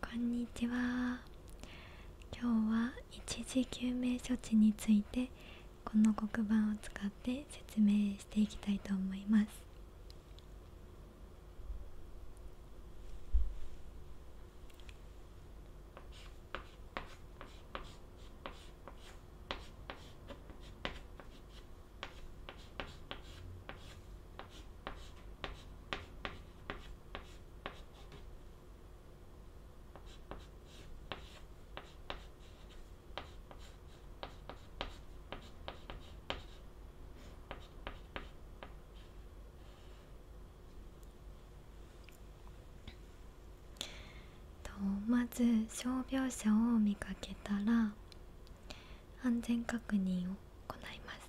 こんにちは今日は一時救命処置についてこの黒板を使って説明していきたいと思いますとまず傷病者を見かけたら安全確認を行います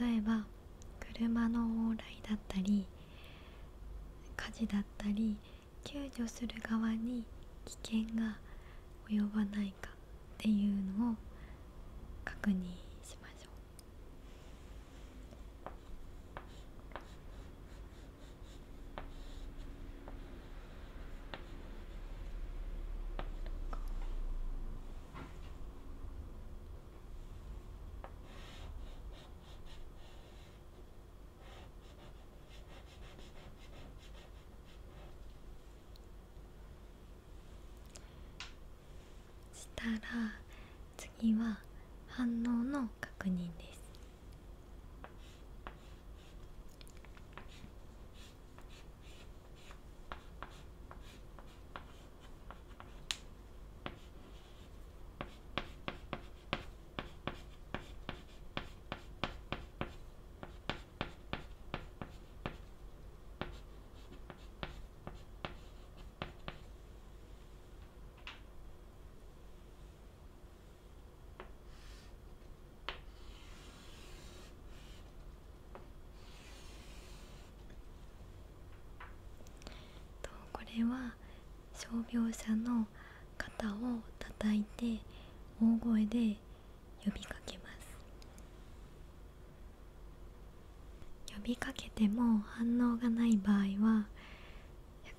例えば車の往来だったり火事だったり救助する側に危険が及ばないかっていうのを確認しましょうしたら次は反応の確認ですこれは傷病者の肩を叩いて大声で呼びかけます呼びかけても反応がない場合は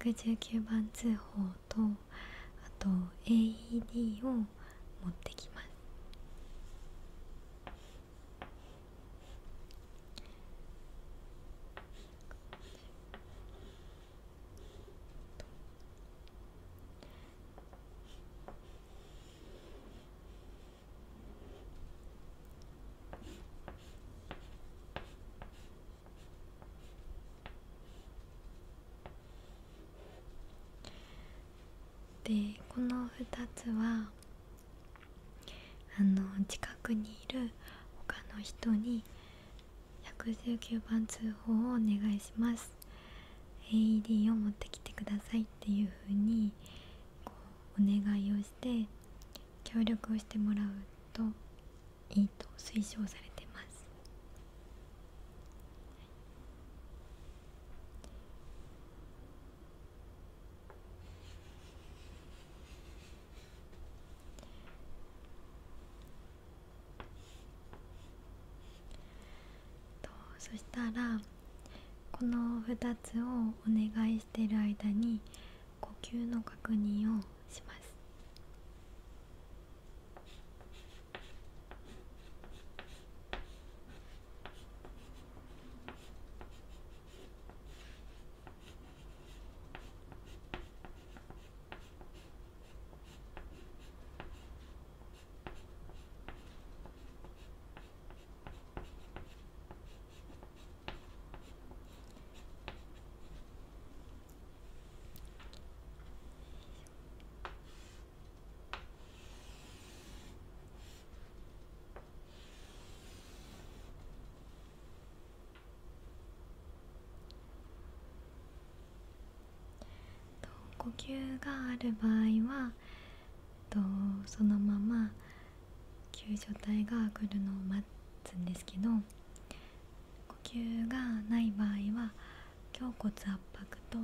119番通報とあと AED を持ってきますでこの2つはあの近くにいる他の人に119番通報をお願いします AED を持ってきてくださいっていうふうにこうお願いをして協力をしてもらうといいと推奨されてます、そしたらこの2つをお願いし介している間に呼吸の確認をします呼吸がある場合はそのまま救助隊が来るのを待つんですけど呼吸がない場合は胸骨圧迫と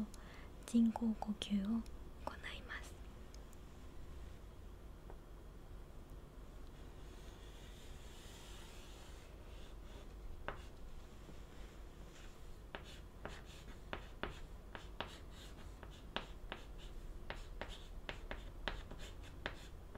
人工呼吸を行います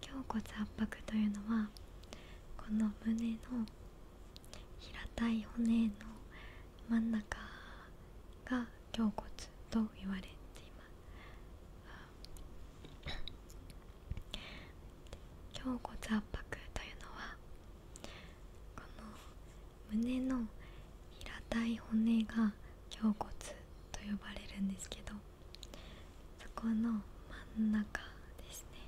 胸骨圧迫というのはこの胸の平たい骨の真ん中が胸骨と言われています胸骨圧迫というのはこの胸の平たい骨が胸骨と呼ばれるんですけどそこの真ん中ですね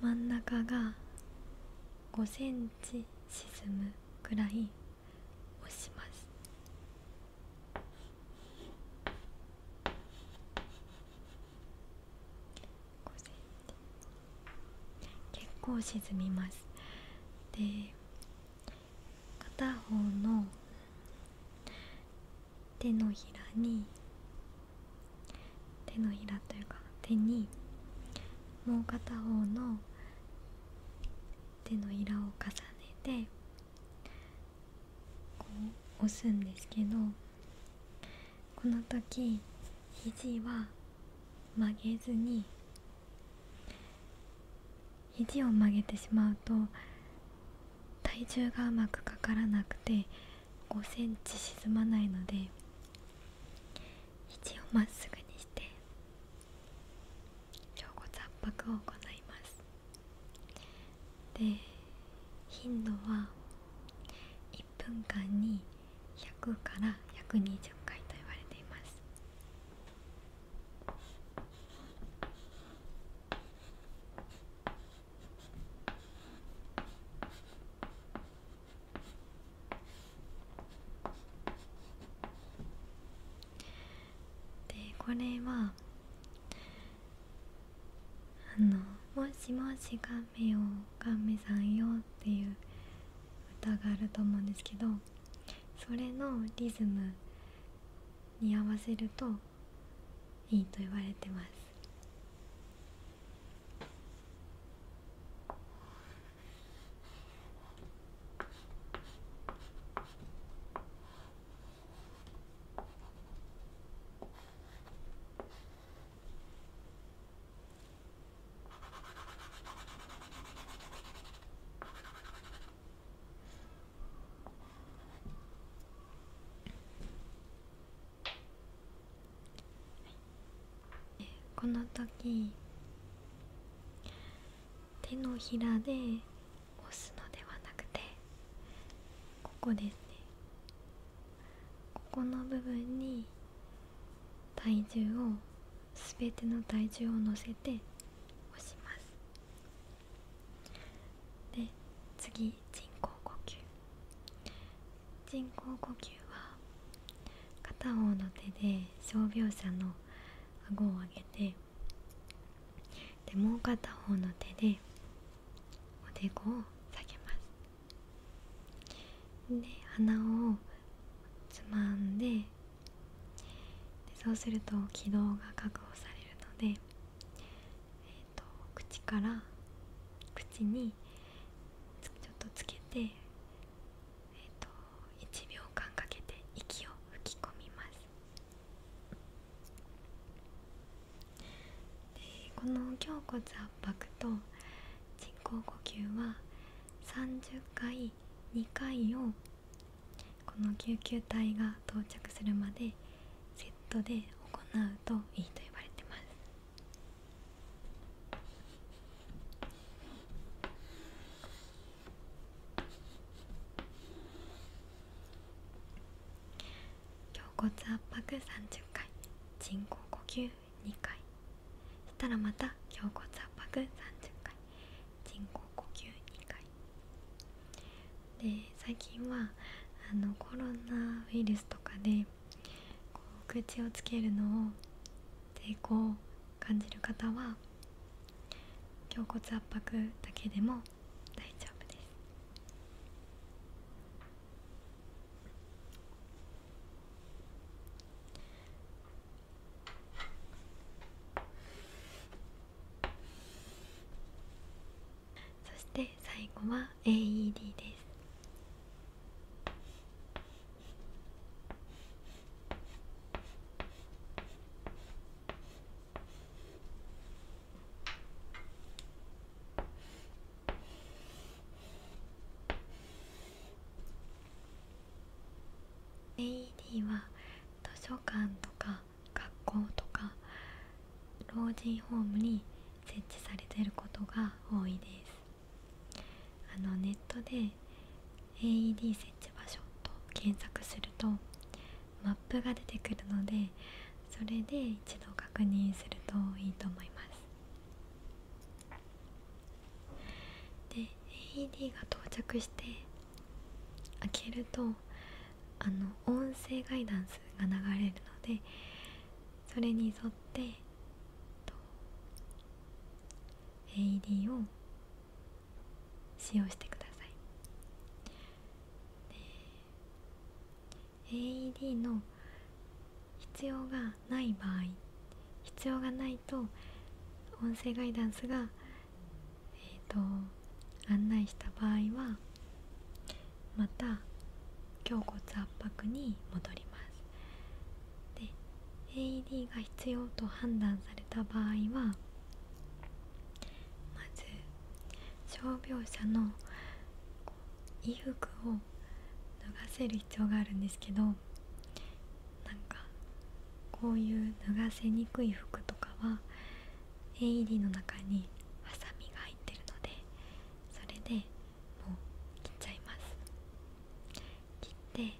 真ん中が5センチ沈むぐらい押します結構沈みますで片方の手のひらに手のひらというか手にもう片方の手のひらを重ねてこう押すんですけどこの時肘は曲げずに肘を曲げてしまうと体重がうまくかからなくて5センチ沈まないので肘をまっすぐにして腸骨圧迫を行いますで頻度は1分間に100から120回と言われていますでこれはあの「もしもしカメよカメさんよ」っていう歌があると思うんですけどそれのリズムに合わせるといいと言われてますこの時手のひらで押すのではなくてここですねここの部分に体重を全ての体重を乗せて押しますで次人工呼吸人工呼吸は片方の手で傷病者の顎を上げてでもう片方の手でおでこを下げますで鼻をつまんででそうすると軌道が確保されるのでえっと、口から口にちょっとつけて、えーと、1秒間かけて息を吹き込みますでこの胸骨圧迫と人工呼吸は30回2回をこの救急隊が到着するまでセットで行うといいと呼われてます胸骨圧迫30回人工呼吸2回そしたらまた胸骨圧迫30回人工呼吸2回で最近はあのコロナウイルスとかでこう口をつけるのを抵抗感じる方は胸骨圧迫だけでも大丈夫ですそして最後は AED です AED は図書館とか学校とか老人ホームに設置されてることが多いですあのネットで AED 設置場所と検索するとマップが出てくるのでそれで一度確認するといいと思いますで AED が到着して開けるとあの音声ガイダンスが流れるのでそれに沿って AED を使用してください AED の必要がない場合必要がないと音声ガイダンスがえーと案内した場合はまた胸骨圧迫に戻りますで AED が必要と判断された場合はまず傷病者の衣服を脱がせる必要があるんですけどなんかこういう脱がせにくい服とかは絵入りの中にハサミが入ってるのでそれでもう切っちゃいます切って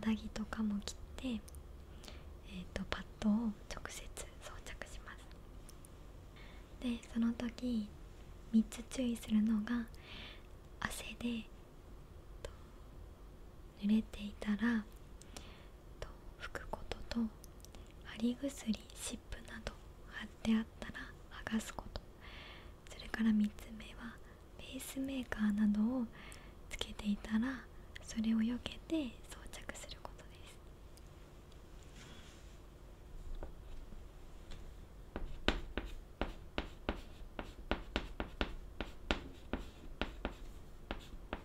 肌着とかも切って、えーとパッドを直接装着しますでその時3つ注意するのが汗で濡れていたら拭くことと貼り薬湿布など貼ってあったら剥がすことそれから3つ目はペースメーカーなどをつけていたらそれを避けて装着することです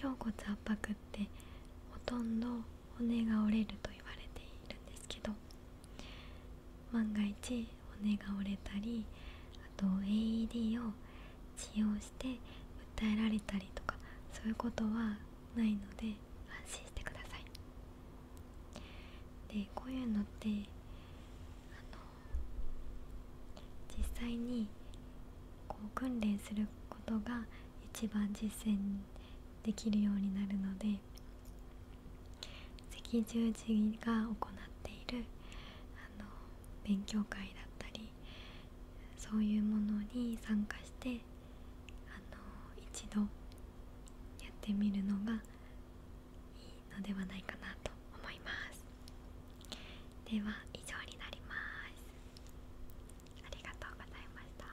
胸骨圧迫ってほとんど骨が折れると言われているんですけど万が一骨が折れたりあと AED を使用して訴えられたりとかそういうことはないので安心してくださいでこういうのって実際にこう訓練することが一番実践できるようになるので赤十字が行っているあの勉強会だったりそういうものに参加してあの一度やってみるのがいいのではないかなと思いますでは以上になりますありがとうございました